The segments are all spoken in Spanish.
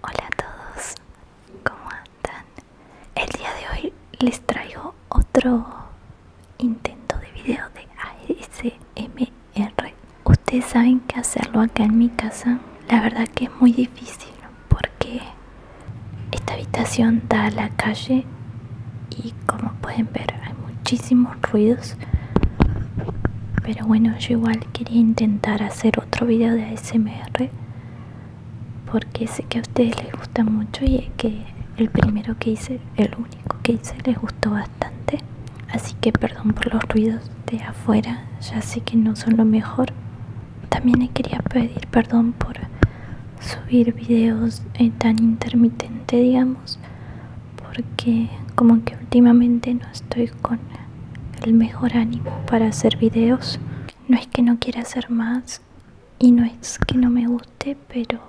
Hola a todos, ¿cómo andan? El día de hoy les traigo otro intento de video de ASMR. Ustedes saben que hacerlo acá en mi casa, la verdad que es muy difícil porque esta habitación da a la calle y como pueden ver hay muchísimos ruidos. Pero bueno, yo igual quería intentar hacer otro video de ASMR porque sé que a ustedes les gusta mucho y es que el primero que hice, el único que hice, les gustó bastante. Así que perdón por los ruidos de afuera, ya sé que no son lo mejor. También quería pedir perdón por subir videos eh, tan intermitente, digamos, porque como que últimamente no estoy con el mejor ánimo para hacer videos. No es que no quiera hacer más y no es que no me guste, pero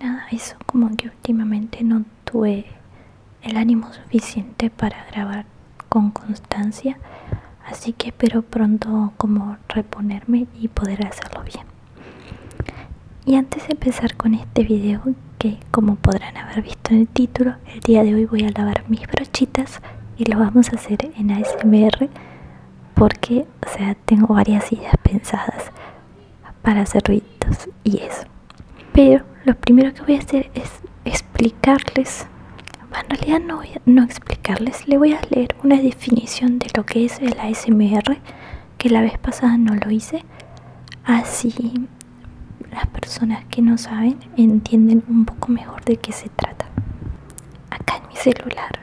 nada, eso como que últimamente no tuve el ánimo suficiente para grabar con constancia. Así que espero pronto como reponerme y poder hacerlo bien. Y antes de empezar con este video, que como podrán haber visto en el título, el día de hoy voy a lavar mis brochitas y lo vamos a hacer en ASMR porque, o sea, tengo varias ideas pensadas para hacer ruidos y eso. Pero lo primero que voy a hacer es explicarles, en realidad no voy a, no explicarles, le voy a leer una definición de lo que es el ASMR, que la vez pasada no lo hice, así las personas que no saben entienden un poco mejor de qué se trata. Acá en mi celular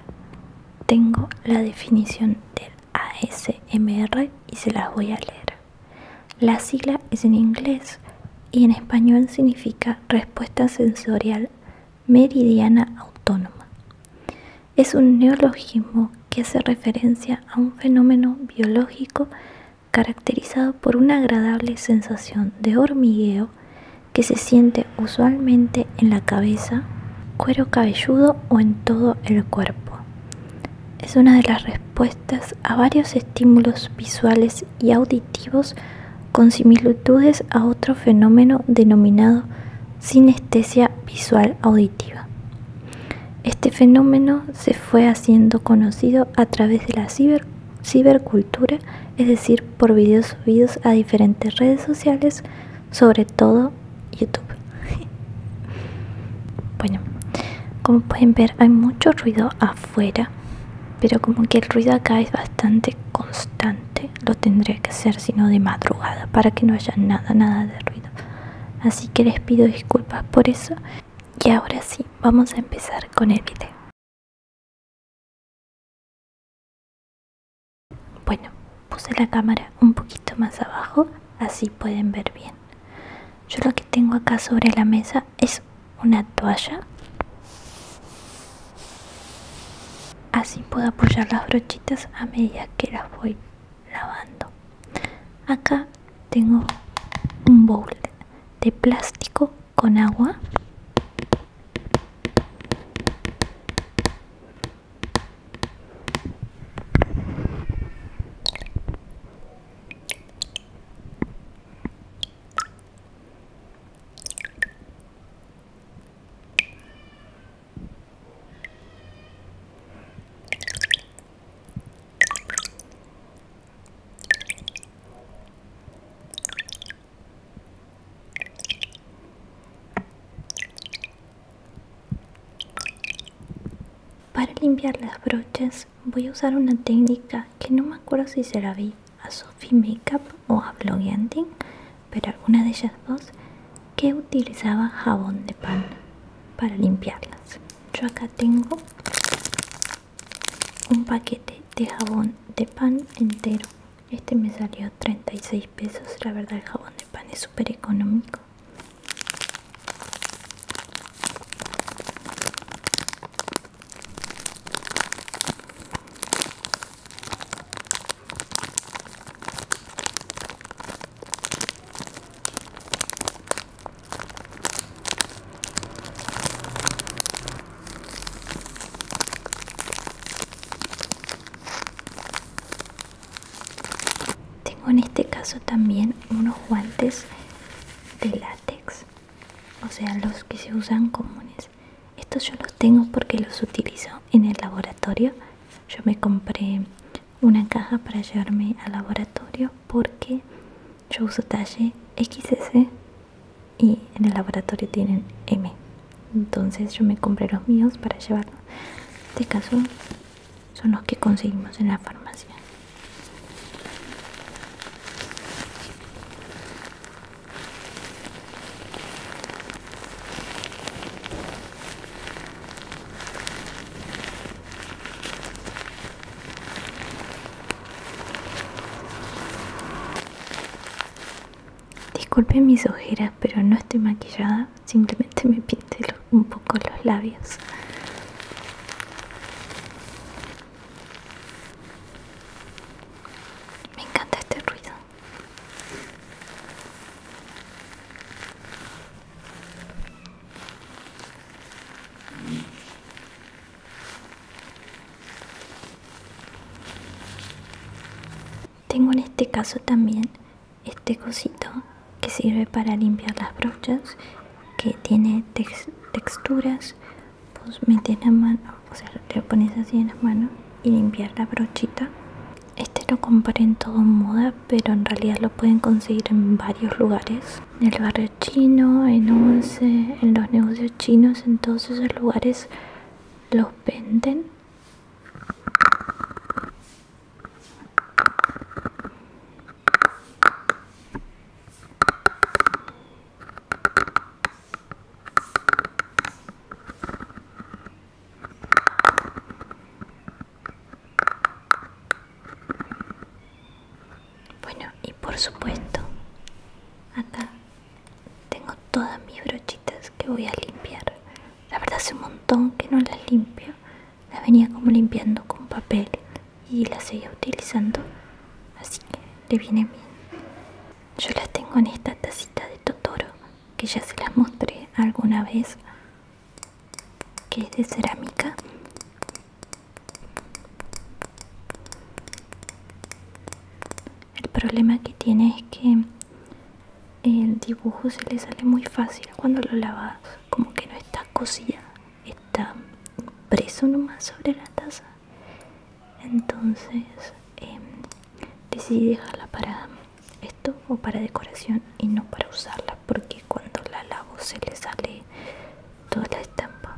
tengo la definición del ASMR y se las voy a leer. La sigla es en inglés y en español significa respuesta sensorial meridiana autónoma. Es un neologismo que hace referencia a un fenómeno biológico caracterizado por una agradable sensación de hormigueo que se siente usualmente en la cabeza, cuero cabelludo o en todo el cuerpo. Es una de las respuestas a varios estímulos visuales y auditivos con similitudes a otro fenómeno denominado sinestesia visual auditiva. Este fenómeno se fue haciendo conocido a través de la ciber cibercultura, es decir, por vídeos subidos a diferentes redes sociales, sobre todo YouTube. bueno, como pueden ver hay mucho ruido afuera, pero como que el ruido acá es bastante constante, lo tendría que hacer sino de madrugada para que no haya nada, nada de ruido. Así que les pido disculpas por eso. Y ahora sí, vamos a empezar con el video. Bueno, puse la cámara un poquito más abajo, así pueden ver bien. Yo lo que tengo acá sobre la mesa es una toalla. Así puedo apoyar las brochitas a medida que las voy lavando. Acá tengo un bowl de plástico con agua para limpiar las brochas voy a usar una técnica que no me acuerdo si se la vi a Sophie Makeup o a Blogging, pero alguna de ellas dos que utilizaba jabón de pan para limpiarlas. Yo acá tengo un paquete de jabón de pan entero este me salió 36 pesos la verdad el jabón de pan es súper económico tengo en este caso también unos guantes de látex, o sea, los que se usan comunes. Estos yo los tengo porque los utilizo en el laboratorio. Yo me compré una caja para llevarme al laboratorio porque yo uso talle XS y en el laboratorio tienen M. Entonces yo me compré los míos para llevarlos. En este caso son los que conseguimos en la farmacia. Disculpen mis ojeras, pero no estoy maquillada, simplemente me pinté un poco los labios. Me encanta este ruido. Tengo en este caso también este cosito que sirve para limpiar las brochas que tiene texturas pues metes la mano o sea le lo pones así en la mano y limpiar la brochita este lo compré en todo moda pero en realidad lo pueden conseguir en varios lugares en el barrio chino en once en los negocios chinos en todos esos lugares los venden bueno y por supuesto acá tengo todas mis brochitas que voy a limpiar. La verdad hace un montón que no las limpio. Las venía como limpiando con papel y las seguía utilizando. Así que le viene bien. Yo las tengo en esta tacita de Totoro que ya se las mostré alguna vez. Que es de cerámica. El problema que tiene es que el dibujo se le sale muy fácil cuando lo lavas, como que no está cosida, está preso nomás sobre la taza. Entonces em, decidí dejarla para esto o para decoración y no para usarla porque cuando la lavo se le sale toda la estampa.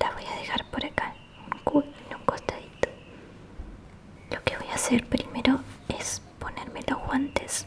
La voy a dejar por acá, en un costadito. Lo que voy a hacer primero es ponerme los guantes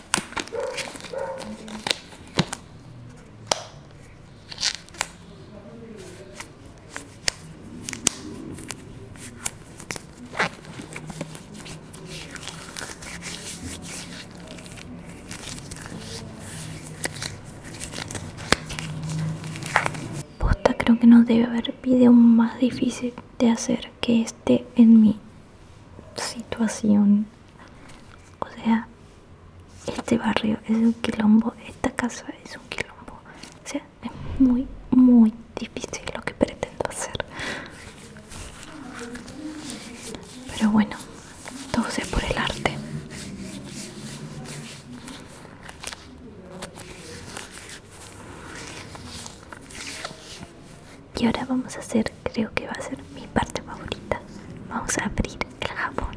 Posta creo que no debe haber video más difícil de hacer que este en mi situación o sea, este barrio es un quilombo, esta casa es un quilombo. O sea, es muy, muy difícil lo que pretendo hacer. Pero bueno, todo sea por el arte. Y ahora vamos a hacer creo que va a ser mi parte favorita. Vamos a abrir el jabón.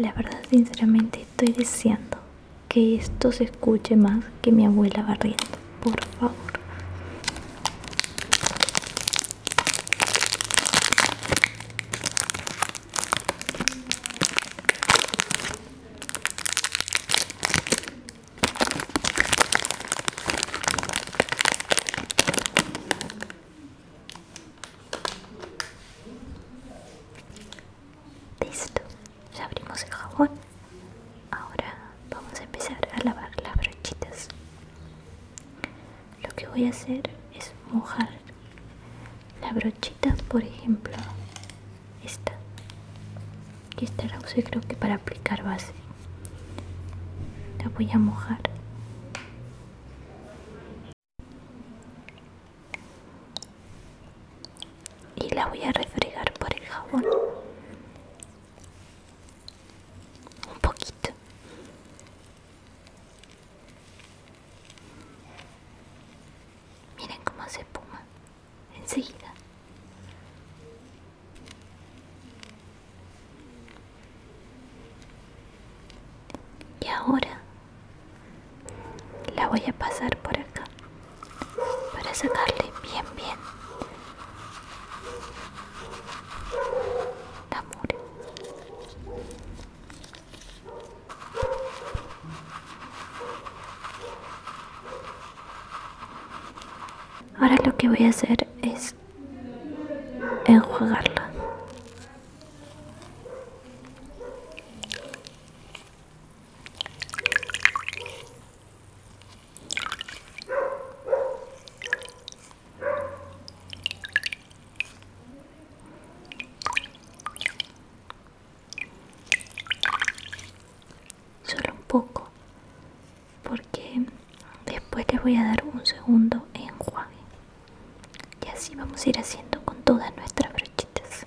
La verdad sinceramente estoy deseando que esto se escuche más que mi abuela barriendo, por favor. Listo, ya abrimos el jabón. Ahora vamos a empezar a lavar las brochitas. Lo que voy a hacer es mojar la brochita, por ejemplo, esta. Que esta la usé creo que para aplicar base. La voy a mojar y la voy a refregar por el jabón un poquito miren cómo se espuma enseguida y ahora la voy a pasar por acá para sacarle bien bien ahora lo que voy a hacer es enjuagarla Solo un poco, porque después les voy a dar un segundo enjuague. Y así vamos a ir haciendo con todas nuestras brochitas.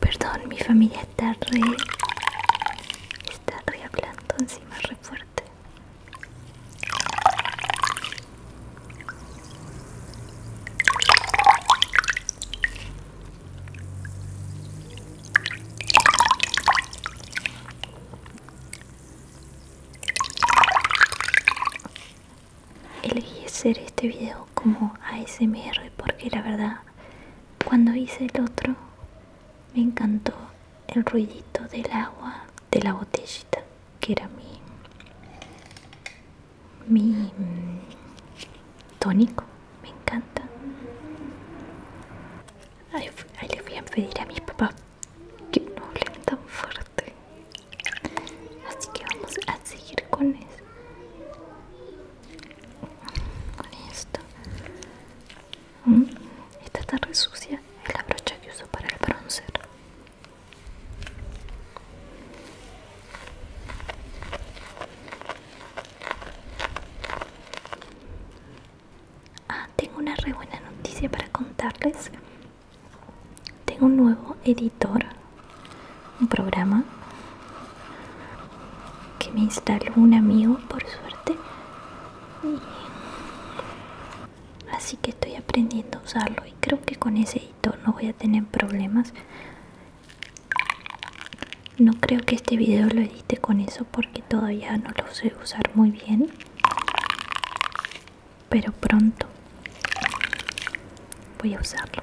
Perdón, mi familia está re. Está re hablando encima, re fuerte. Elegí hacer este video como ASMR porque la verdad cuando hice el otro, me encantó el ruidito del agua de la botellita, que era mi, mi mm, tónico, me encanta. Ahí, le voy a pedir a mis papás que no le tan fuerte. Así que vamos a seguir con eso. Listo. Mm, esta está re sucia. Es la brocha que uso para el bronzer. Ah, tengo una re buena noticia para contarles. Tengo un nuevo editor un programa que me instaló un amigo por suerte así que estoy aprendiendo a usarlo y creo que con ese editor no voy a tener problemas no creo que este video lo edite con eso porque todavía no lo sé usar muy bien pero pronto voy a usarlo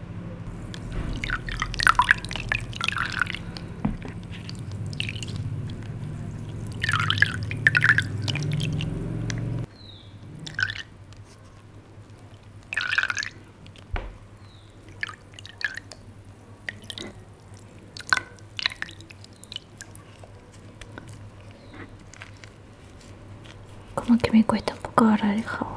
Como que me cuesta un poco agarrar el jabón.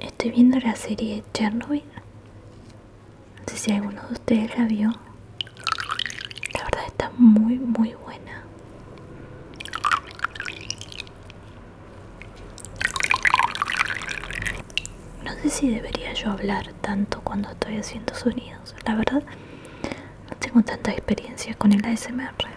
Estoy viendo la serie Chernobyl. No sé si alguno de ustedes la vio. La verdad está muy, muy buena. No sé si debería yo hablar tanto cuando estoy haciendo sonidos. La verdad, no tengo tanta experiencia con el ASMR.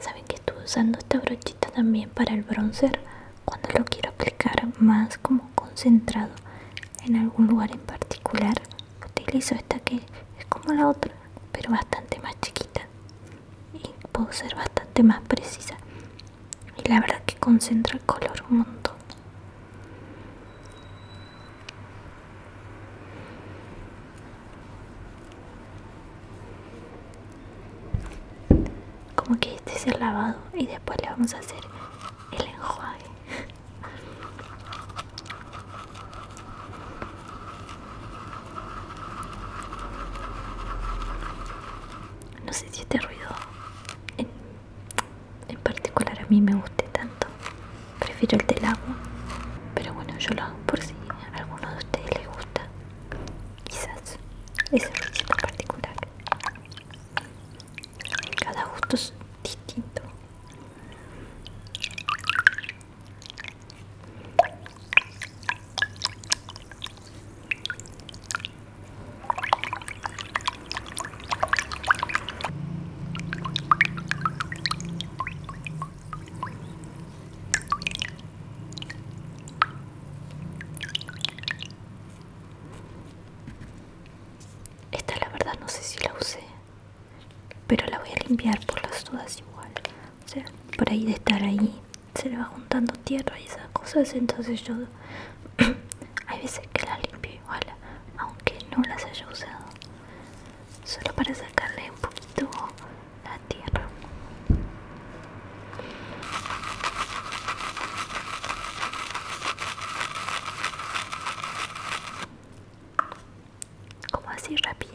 Saben que estuve usando esta brochita también para el bronzer cuando lo quiero aplicar más como concentrado en algún lugar en particular. Utilizo esta que es como la otra, pero bastante más chiquita y puedo ser bastante más precisa. Y la verdad que concentra el color un montón. Como que este es el lavado y después le vamos a hacer el enjuague. No sé si este ruido en, particular a mí me guste tanto. Prefiero el del agua. Pero bueno, yo lo hago por sí. ¿A alguno de ustedes les gusta? Quizás ese ruido particular. Cada gusto es distinto. Esta la verdad no sé si la usé, pero la voy a limpiar por las dudas igual. O sea, por ahí de estar ahí se le va juntando tierra y esas cosas, entonces yo hay veces que la limpio igual, aunque no las haya usado, solo para sacarle un poquito na Terra. Como assim, rápido?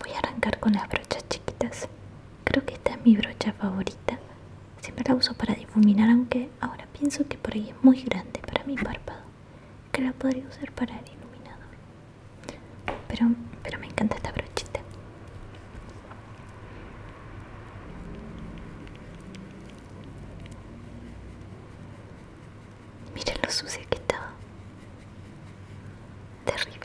Voy a arrancar con las brochas chiquitas. Creo que esta es mi brocha favorita. Siempre la uso para difuminar, aunque ahora pienso que por ahí es muy grande para mi párpado. Que la podría usar para el iluminador. Pero, me encanta esta brochita. Miren lo sucio que estaba. Terrible.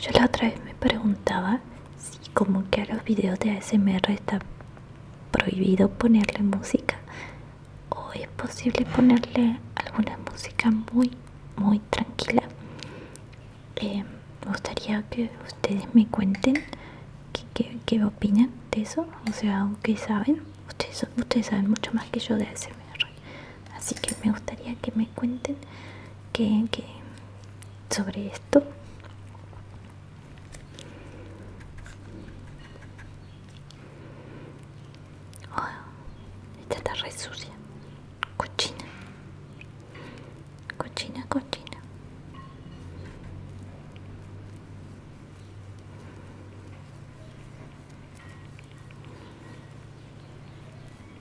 Yo la otra vez me preguntaba si como que a los videos de ASMR está prohibido ponerle música o es posible ponerle alguna música muy muy tranquila. Eh, me gustaría que ustedes me cuenten qué, opinan de eso, o sea, qué saben. Ustedes, ustedes saben mucho más que yo de ASMR así que me gustaría que me cuenten que, sobre esto oh, esta está re sucia cochina cochina cochina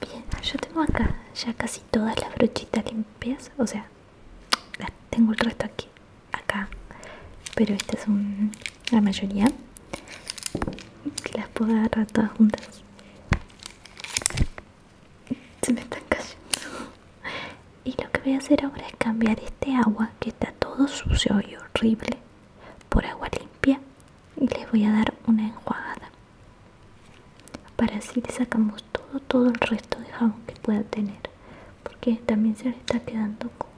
Bien, yo tengo acá ya casi todas las brochitas limpias, o sea, tengo el resto aquí acá pero estas son la mayoría las puedo agarrar todas juntas se me están cayendo y lo que voy a hacer ahora es cambiar este agua que está todo sucio y horrible por agua limpia y les voy a dar una enjuagada para así le sacamos todo todo el resto de jamón que pueda tener porque también se le está quedando con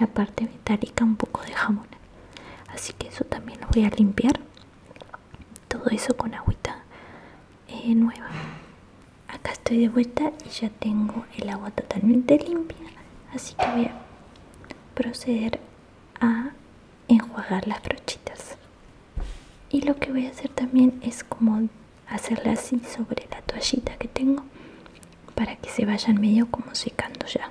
la parte metálica un poco de jamón así que eso también lo voy a limpiar todo eso con agüita eh, nueva acá estoy de vuelta y ya tengo el agua totalmente limpia así que voy a proceder a enjuagar las brochitas y lo que voy a hacer también es como hacerla así sobre la toallita que tengo para que se vayan medio como secando ya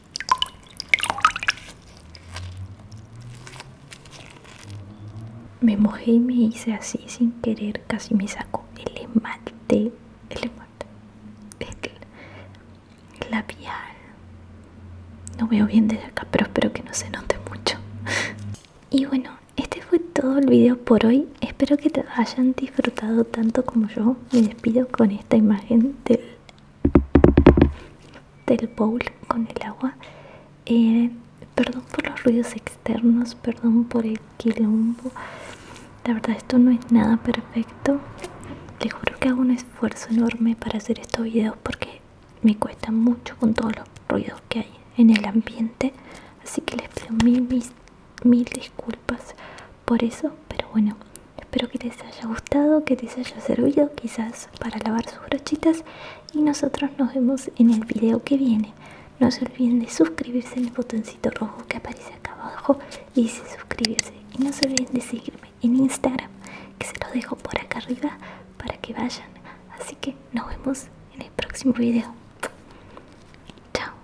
Me mojé y me hice así sin querer, casi me saco el esmalte, el esmalte, el labial. No veo bien desde acá, pero espero que no se note mucho. Y bueno, este fue todo el video por hoy. Espero que te hayan disfrutado tanto como yo. Me despido con esta imagen del, bowl con el agua eh, perdón por los ruidos externos perdón por el quilombo la verdad esto no es nada perfecto les juro que hago un esfuerzo enorme para hacer estos videos porque me cuesta mucho con todos los ruidos que hay en el ambiente así que les pido mil disculpas por eso pero bueno, espero que les haya gustado, que les haya servido quizás para lavar sus brochitas y nosotros nos vemos en el video que viene. No se olviden de suscribirse en el botoncito rojo que aparece acá abajo y dice suscribirse. Y no se olviden de seguirme en Instagram, que se los dejo por acá arriba para que vayan. Así que nos vemos en el próximo video. Chao.